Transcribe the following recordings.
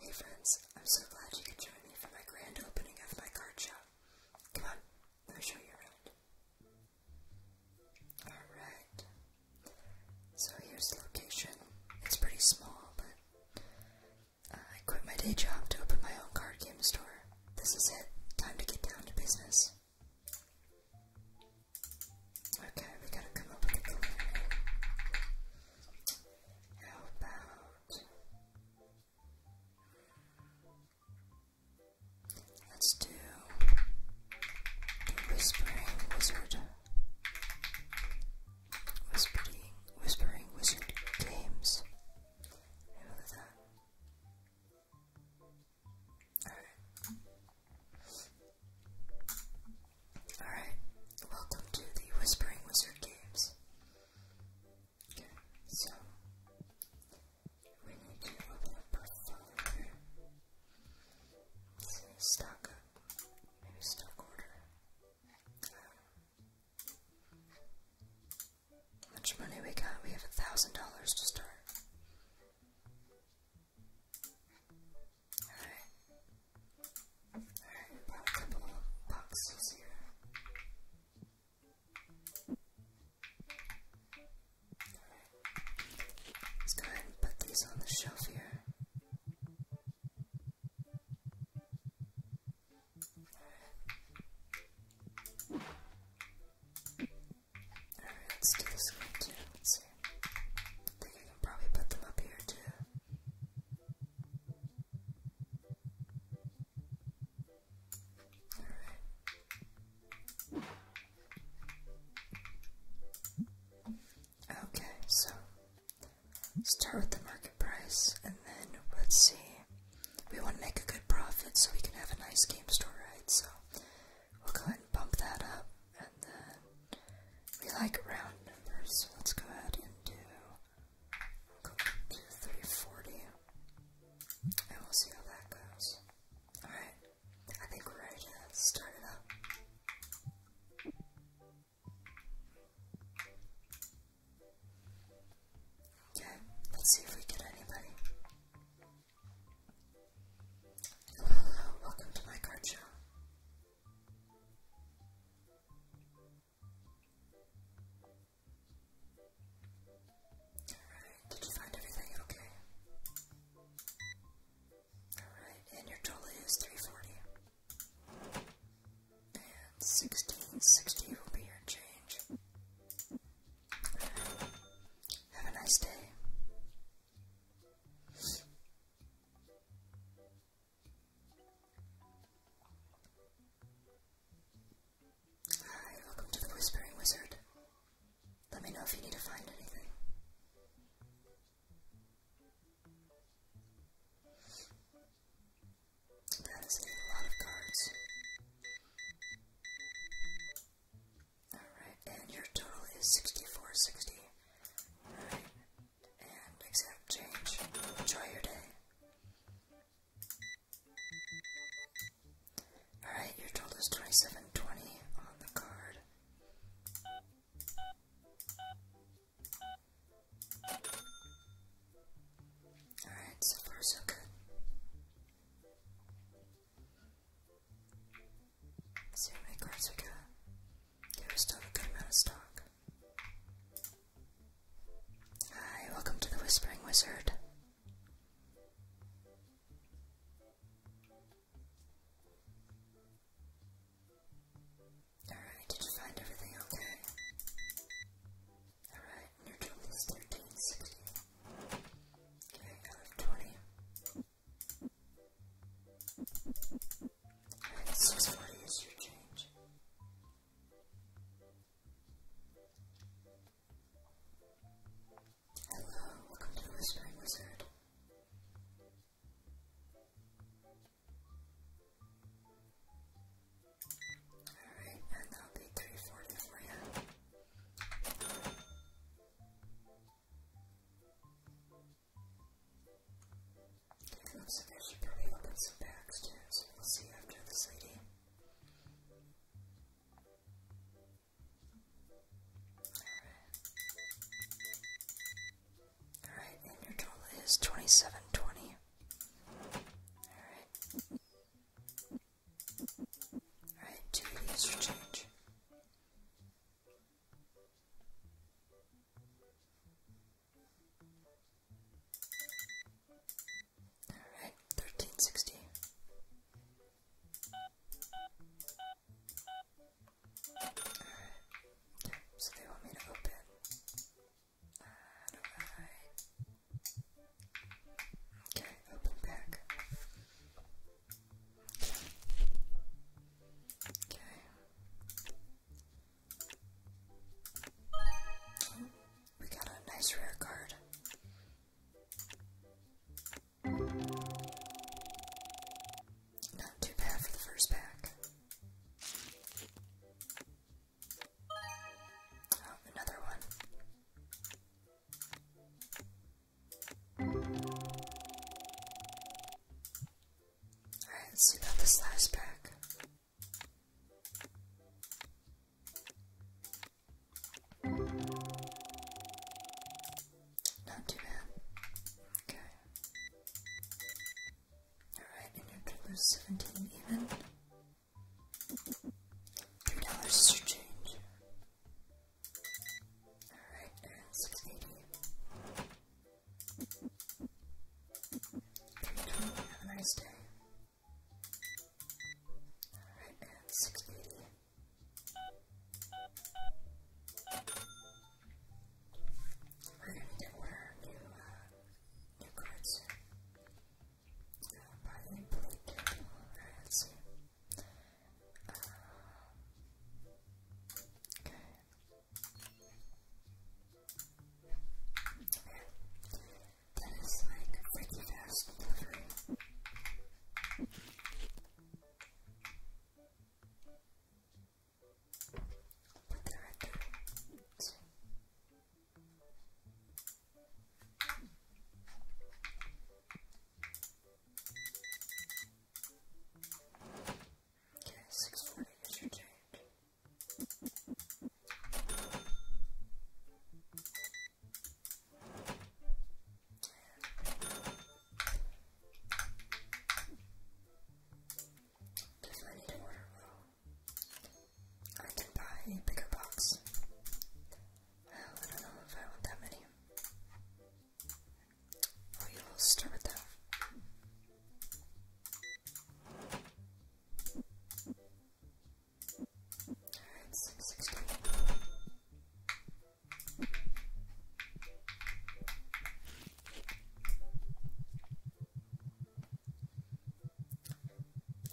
Hey friends, I'm so glad you could join me for my grand opening of my card shop. Come on, let me show you around. Alright. So here's the location. It's pretty small, but uh, I quit my day job to open my own card game store. This is it. Time to get down to business. Okay, we gotta come up how about let's do Whispering Wizard, Whispering Whispering Wizard games. Alright, welcome to the Whispering Wizard Games. so we need to open up our folder here. let stock up. Maybe stock order. How much money we got? We have a thousand dollars to start. Alright. Alright, a couple of boxes here. Alright. Let's go ahead and put these on the shelf here. Alright. let's do this one too. Let's see. think I can probably put them up here too. Okay, so start with the market price and then let's see. We want to make a good profit so we can have a nice game store, right? So we'll go ahead and bump that up and then we like round numbers, so let's go ahead and do, go 340, and we'll see how that goes. Alright, I think we're ready to start it up. Okay, let's see if we get anybody. hello, welcome to my card show. Alright, did you find everything okay? Alright, and your total is 340. And 1660 will be your change. have a nice day. Hi, welcome to the Whispering Wizard. Let me know if you need to find anything. That is a lot of cards. Alright, and your total is 6460 and accept change. Enjoy your day. Alright, you're told 2720 on the card. Alright, so far so good. Let's see how many still a good amount of stock. Hi, welcome to the Whispering Wizard. Alright, did you find everything okay? Alright, your total is 1360. Okay, out of 20. It's as funny your change. Hello, welcome to the Whispering Wizard. Alright, and that'll be 340 for you. So they should probably open some packs too, so we'll see after this lady. Alright. and your total is 2720. Alright. Alright, two of change. Alright, thirteen sixty. so they want me to open. Okay, open back. Okay. We got a nice rare card. Not too bad for the first pack. Oh, another one. Alright, let's see about this last pack. Not too bad. Okay. Alright, and your total 17 even. Three dollars is your change. Alright, have a nice day. Alright, and 680. We're gonna get one our new, uh, new cards. Uh, Brian that is like freaky fast delivery. Okay, 640 is your if I need to order well, I can buy a bigger box. Oh, I don't know if I want that many. Oh, you will stir it though.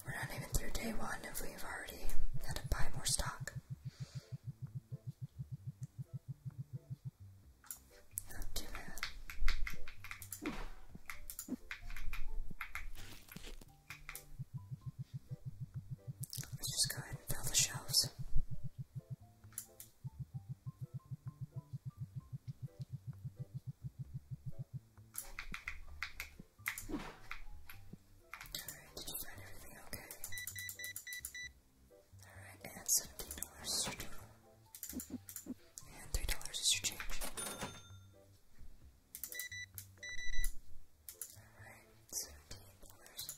We're not even through day one if we've already had to buy more stock. Not too bad. Let's just go ahead and fill the shelves. Alright, did you find everything okay? Alright, and seventeen dollars total. And three dollars is your change. Alright, seventeen dollars.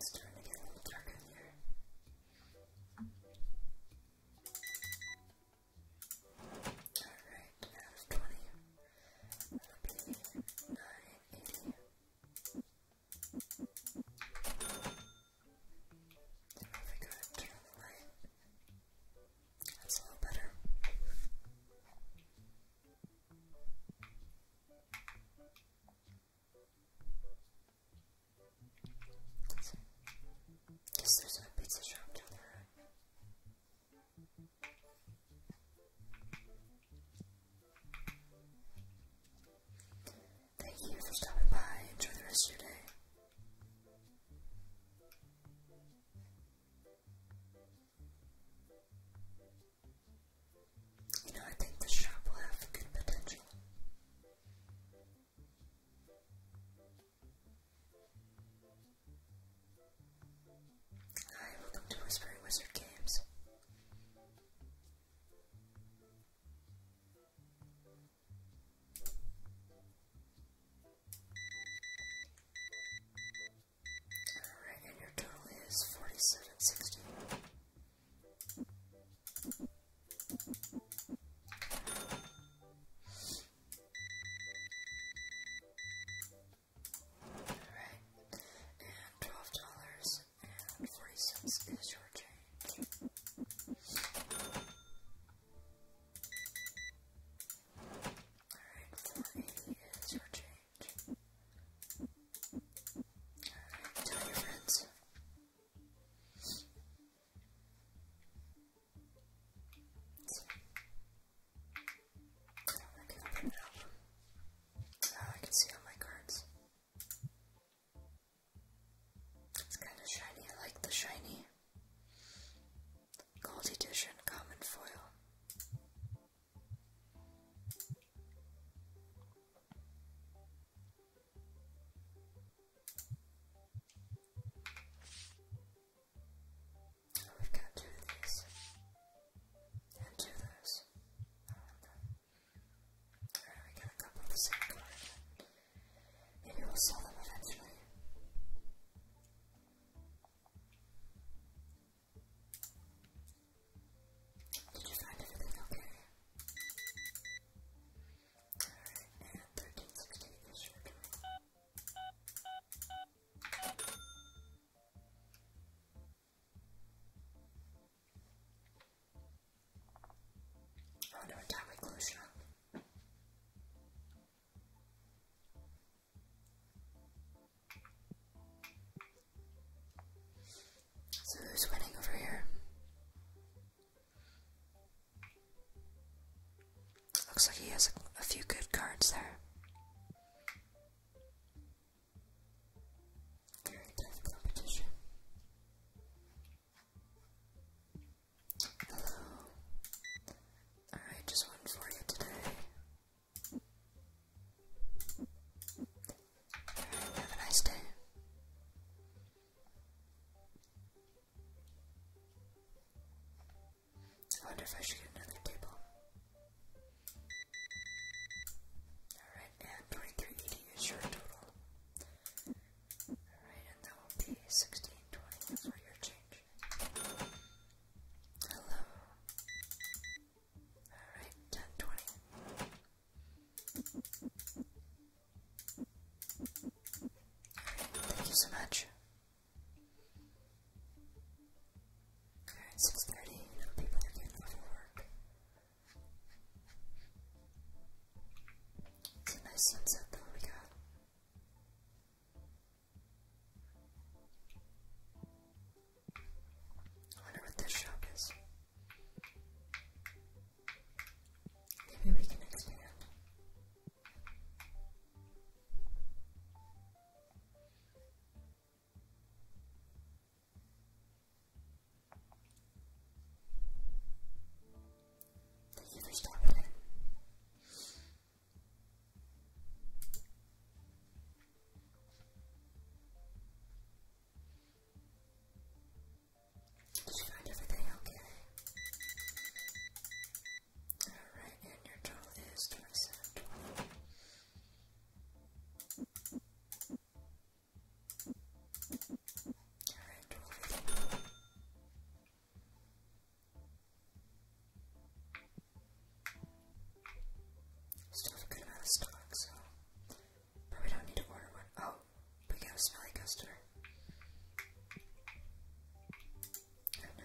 It's starting to get a dark in here. Alright, out of 20, that I That's a little better. Guess there's a pizza shop down there. Thank you for stopping by. Enjoy the rest of your day. You know, I think the shop will have good potential. Hi, welcome to Whispering Wizard Games. Alright, and your total is forty seven sixty. Alright. And twelve dollars and forty cents is your change. Alright, four eighty is your change. tell your friends. I can see all my cards. It's kind of shiny. I like the shiny. Gold Edition Common Foil. we got two of these and do this. I we got a couple of the same card. Maybe we'll sell them eventually. Did you find everything okay? and 1360 is your Oh, so who's winning over here? Looks like he has a few good cards there. Very tough competition. Hello. Alright, just one for you today. have a nice day. I wonder if I should get another table. Alright, and 2380 is your total. Alright, and that will be 1620 for your change. Hello. Alright, 1020. thank you so much. Alright, Six thirty. No people are getting off work. It's a nice sunset though we got. I wonder what this shop is. Maybe we can expand. Thank you for stopping in. Did you find everything okay? Alright, and your total is 27, 20. Still a good amount of stock, so probably don't need to order one. Oh, we got a smelly customer. Oh no.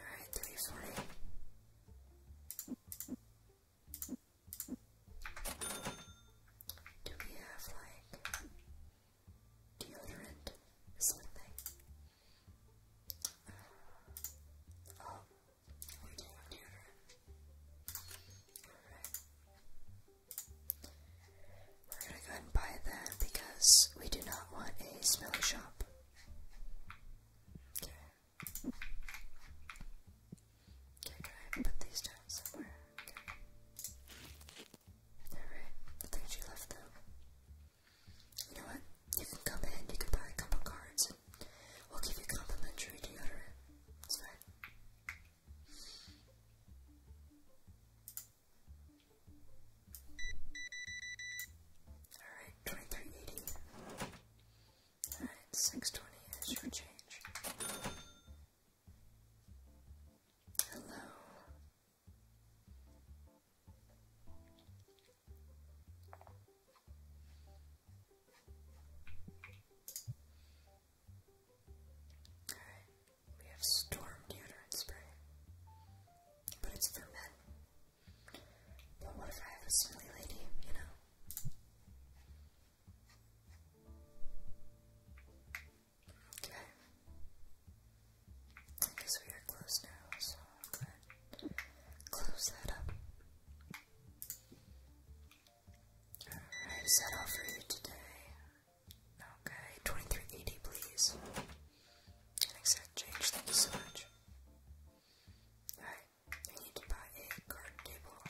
Alright, 340. Do we have like deodorant something? Uh, oh, we do have deodorant. We're gonna go and buy that because we do not want a smelly shop. Okay, I try put these down somewhere? Okay. Alright, I think she left them. You know what? You can come in, you can buy a couple cards, we'll give you complimentary deodorant. It's fine. Alright, 2380. Alright, 620 is your change. Hello. Alright, we have Storm Deodorant Spray. But it's for men. But what if I have a silly lady, you know? Okay. I we are close now, so close that up. Alright, is that all for you today? Okay, 2380 please. I think thank you so much. Alright, I need to buy a garden table.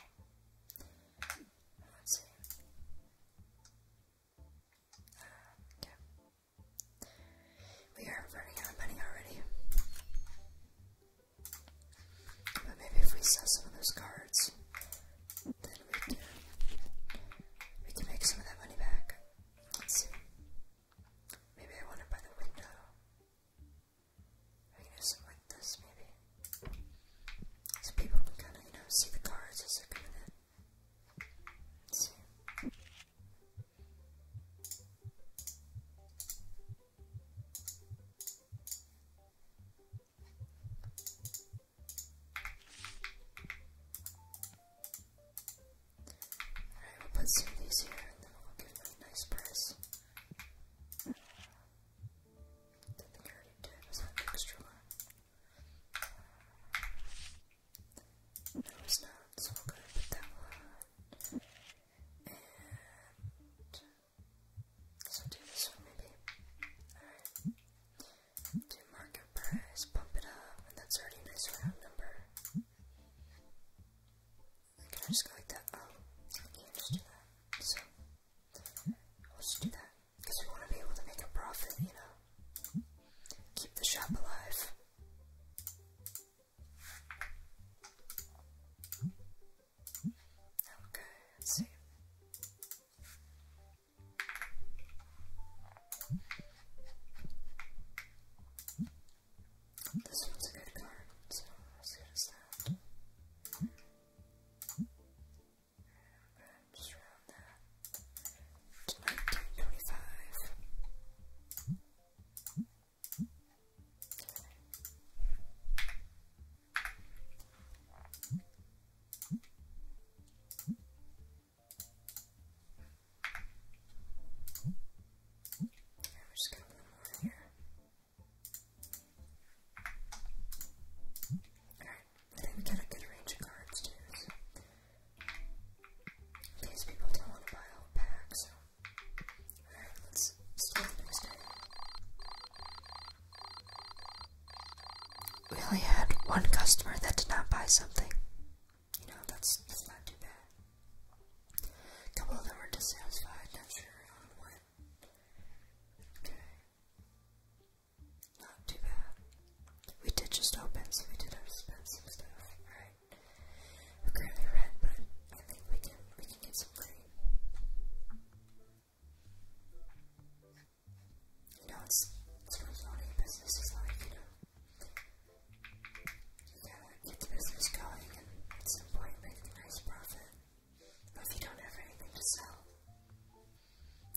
Let's see. Uh, we are running out of money already. But maybe if we sell some of those cards, then we can make some of that money back. Let's see. Maybe I want to buy the window. I can do something like this, maybe. So people can kind of, you know, see the cards as they're coming in. Alright, we'll put some of these here and then we'll give them a nice price. I think I already did. Was that extra one? No, it's not. So we'll go put that one. And so do this one maybe. Alright. Do market price, pump it up, and that's already a nice number. Can I just go like that? Oh, yeah, hmm, let's do that. So, let's do that. Because we want to be able to make a profit, you know? Keep the shop alive. Okay, see. This one's a good card, so as good as that. And just round that to 1925. Alright, I we got a good range of cards too. So. These people don't want to buy a whole Alright, let's start the next We only had one customer that did not buy something. You know, that's, that's not too bad. Couple of them were dissatisfied, not sure on what. Okay. Not too bad. We did just open, so we did have to some stuff, right? We're currently red, but I think we can we can get some green. You know, it's it's really funny business is like, you know. Get the business going and at some point make a nice profit. But if you don't have anything to sell,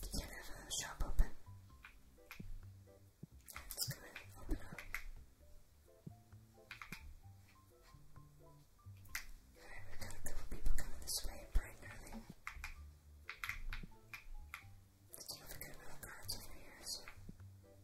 you can't have a shop open. It's gonna open up. Alright, we've a couple people coming this way bright and early. Let's see if we got another car over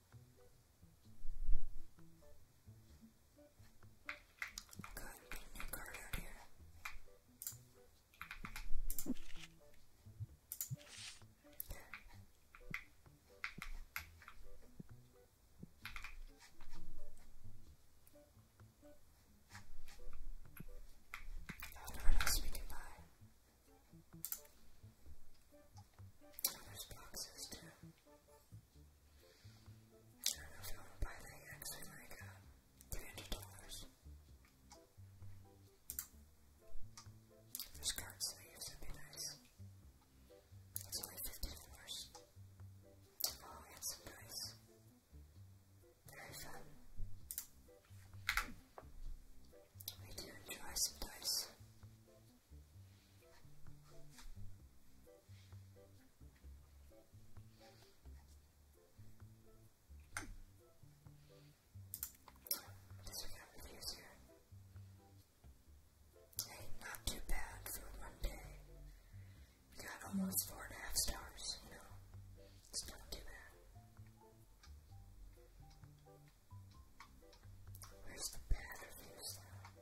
Good, put a new card out here. There's no one else we can buy. Oh, there's boxes too. I was gonna buy that actually like uh, $300. There's would be nice. It's only $50. Oh, and some Very fun. We do enjoy some this Hey, not too bad for one day. Got almost four and a half stars, you It's not too bad. Where's the bad reviews though?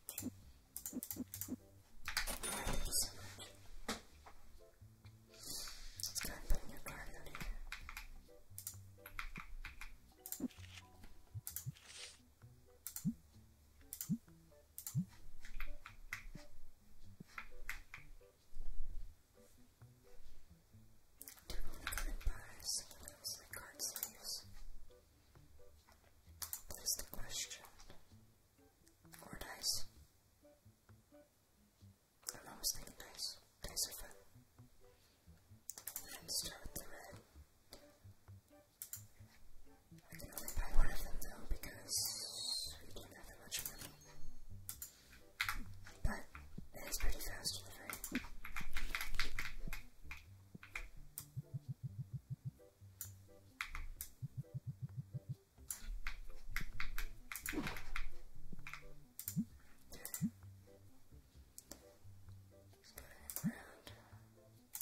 Let's go and put new cards on here. They're only coming by something else like card sleeves. That's the question. Or dice. I'm always thinking dice. Dice are fun. We start with the red. I can only buy one of them though because we don't have that much money. But it's pretty fast delivery. Just put it in the ground.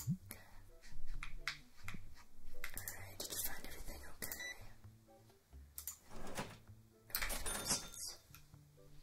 Okay. Alright, did you find everything okay? Everything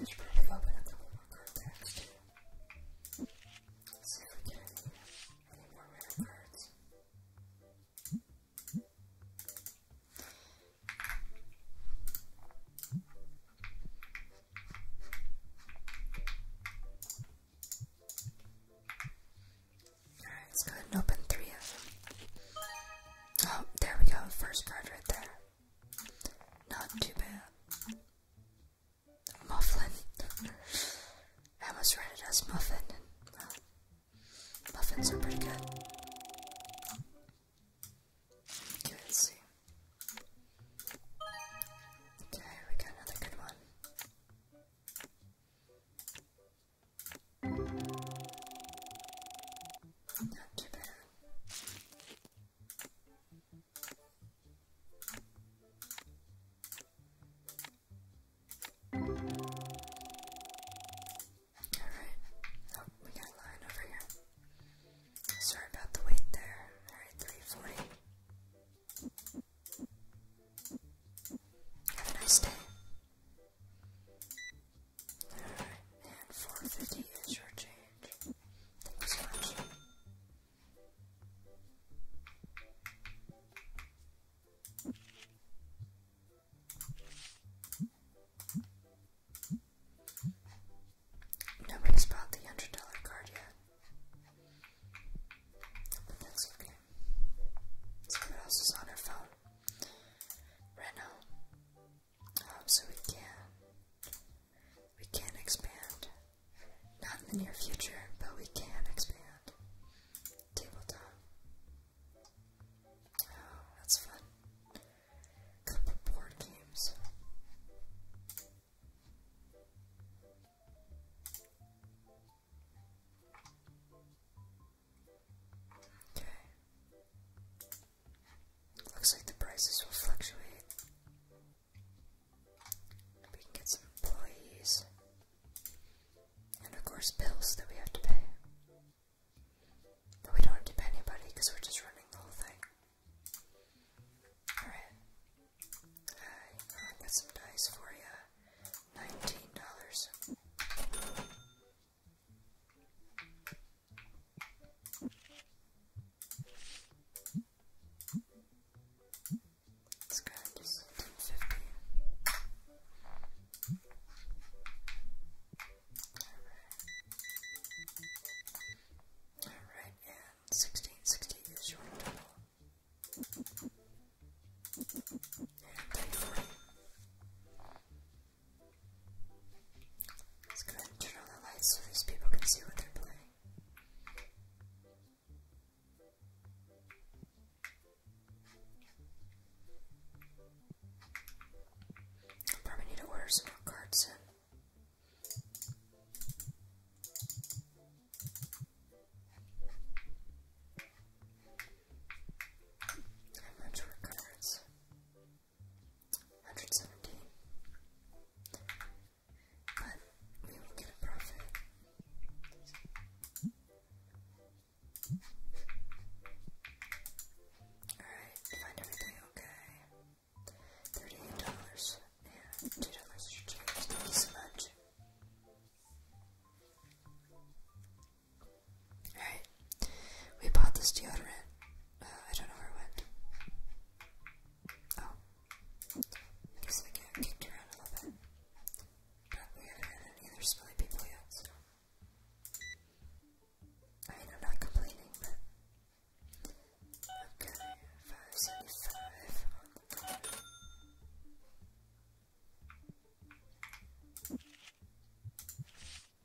I should probably open a couple more card packs too. more rare cards. let's go ahead and open three of them. Oh, there we go. First card right there. Not too bad. Mufflin. I almost read it as muffin. muffins are pretty good. let's see. Okay, we got another good one. Not too bad. All right. Oh, we got a line over here. Sorry about the wait there. All right, three forty. Have a nice day. And 450 is your change. Thank you so much. Nobody's bought the hundred dollar card yet. that's okay. Someone else is on her phone. Reno. Um, so we can we can expand. Not in the near future, but we can expand. Tabletop. Oh, that's fun. Couple board games. Okay. Looks like the prices will fluctuate. We can get some employees. And of course, bills that we have to pay. But we don't have to pay anybody because we're just running the whole thing. Alright. Uh, i got some dice for you. $19. This guy is All right, and sixteen sixty is your total. And thankfully, Let's go turn on the lights so these people can see what they're playing. i probably need to order some more cards in. How much cards? 117. But we will get a profit. Alright, find everything okay. Thirty-eight dollars. Yeah, two dollars should much. Alright. We bought this deodorant. Uh, I don't know where it went. Oh. I guess I got kicked around a little bit. But we haven't had any other smelly people yet, I mean, I'm not complaining, Okay, 575 all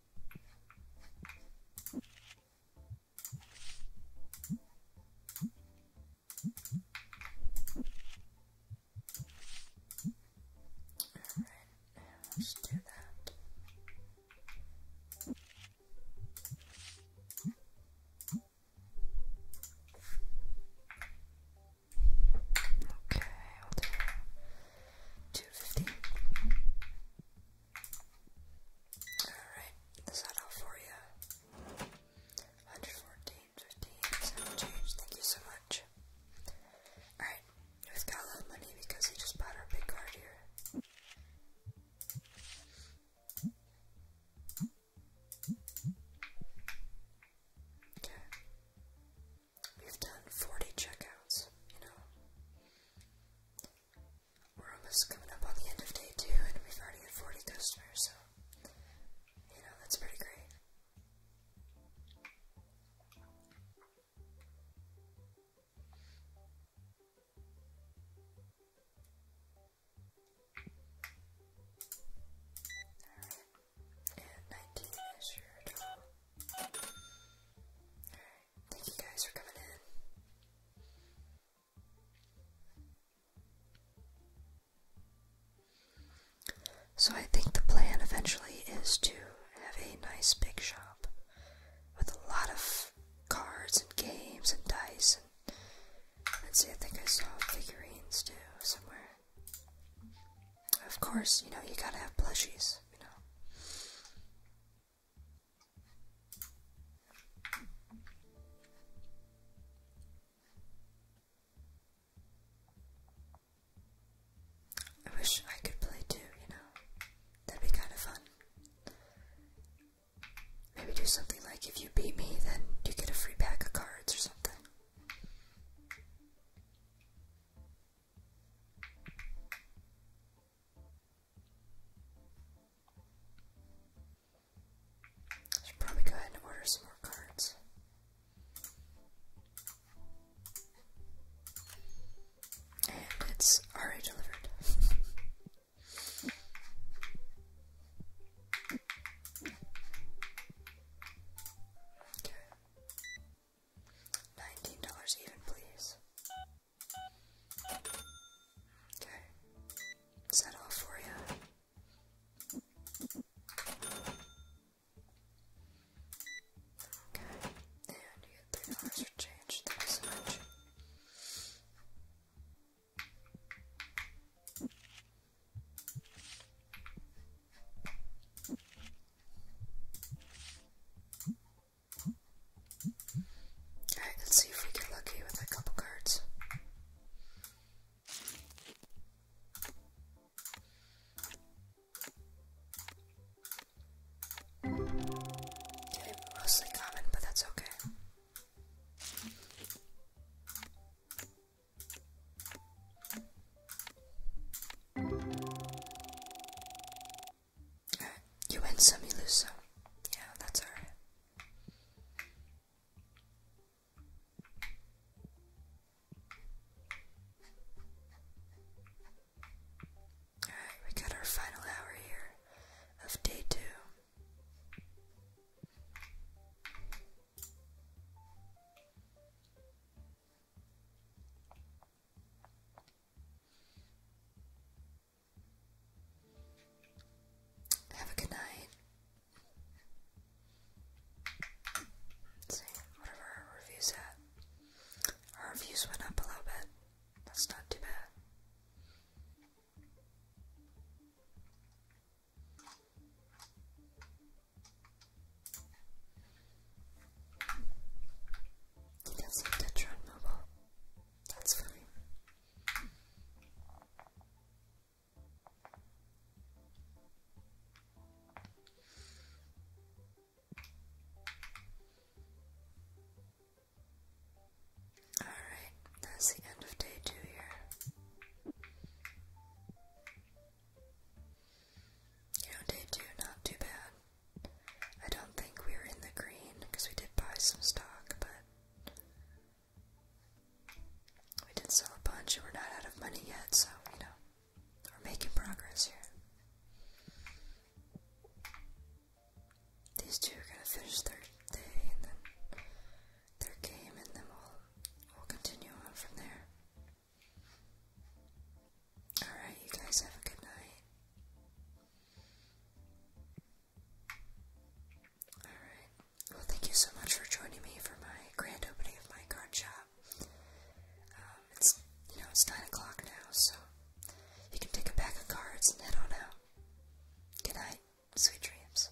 right, let's do that. Okay, Two fifty. Alright, is that for you? 114, change. Thank you so much. Alright, we've got a lot of money because he just bought our big card here. We've done 40 checkouts, you know. We're almost coming up on the end of day two, and we've already had 40 customers, so, you know, that's pretty great. Alright, and 19 is your so, I think the plan eventually is to have a nice big shop with a lot of cards and games and dice. And let's see, I think I saw figurines too somewhere. Of course, you know, you gotta have plushies, you know. I wish I could play too, you know. That'd be kind of fun. Maybe do something like if you beat me, then you get a free pack of cards or something. I should probably go ahead and order some more cards. And it's already delivered. Nineteen dollars even, please. Okay. Is that for you? Okay. And you get three dollars change. Thank so much. Alright, let's see if we get lucky with a couple cards. Okay, mostly common, but that's okay you win some, you lose some. Yeah, that's alright. Alright, we got our final hour here of day two. Have a good night. see, whatever our reviews at. Our reviews went up a little bit. That's not too bad. He doesn't touch on mobile. That's fine. All right, that's the end of day two here. You know, day two, not too bad. I don't think we are in the green because we did buy some stock, but we did sell a bunch and we're not out of money yet, so you know, we're making progress here. These two are gonna finish their day and then their game, and then we'll continue on from there. Alright, you guys have a good night. Alright. Well, thank you so much for joining me for my grand opening of my card shop. Um, it's, you know, it's 9 o'clock now, so you can take a pack of cards and head on out. Good night. Sweet dreams.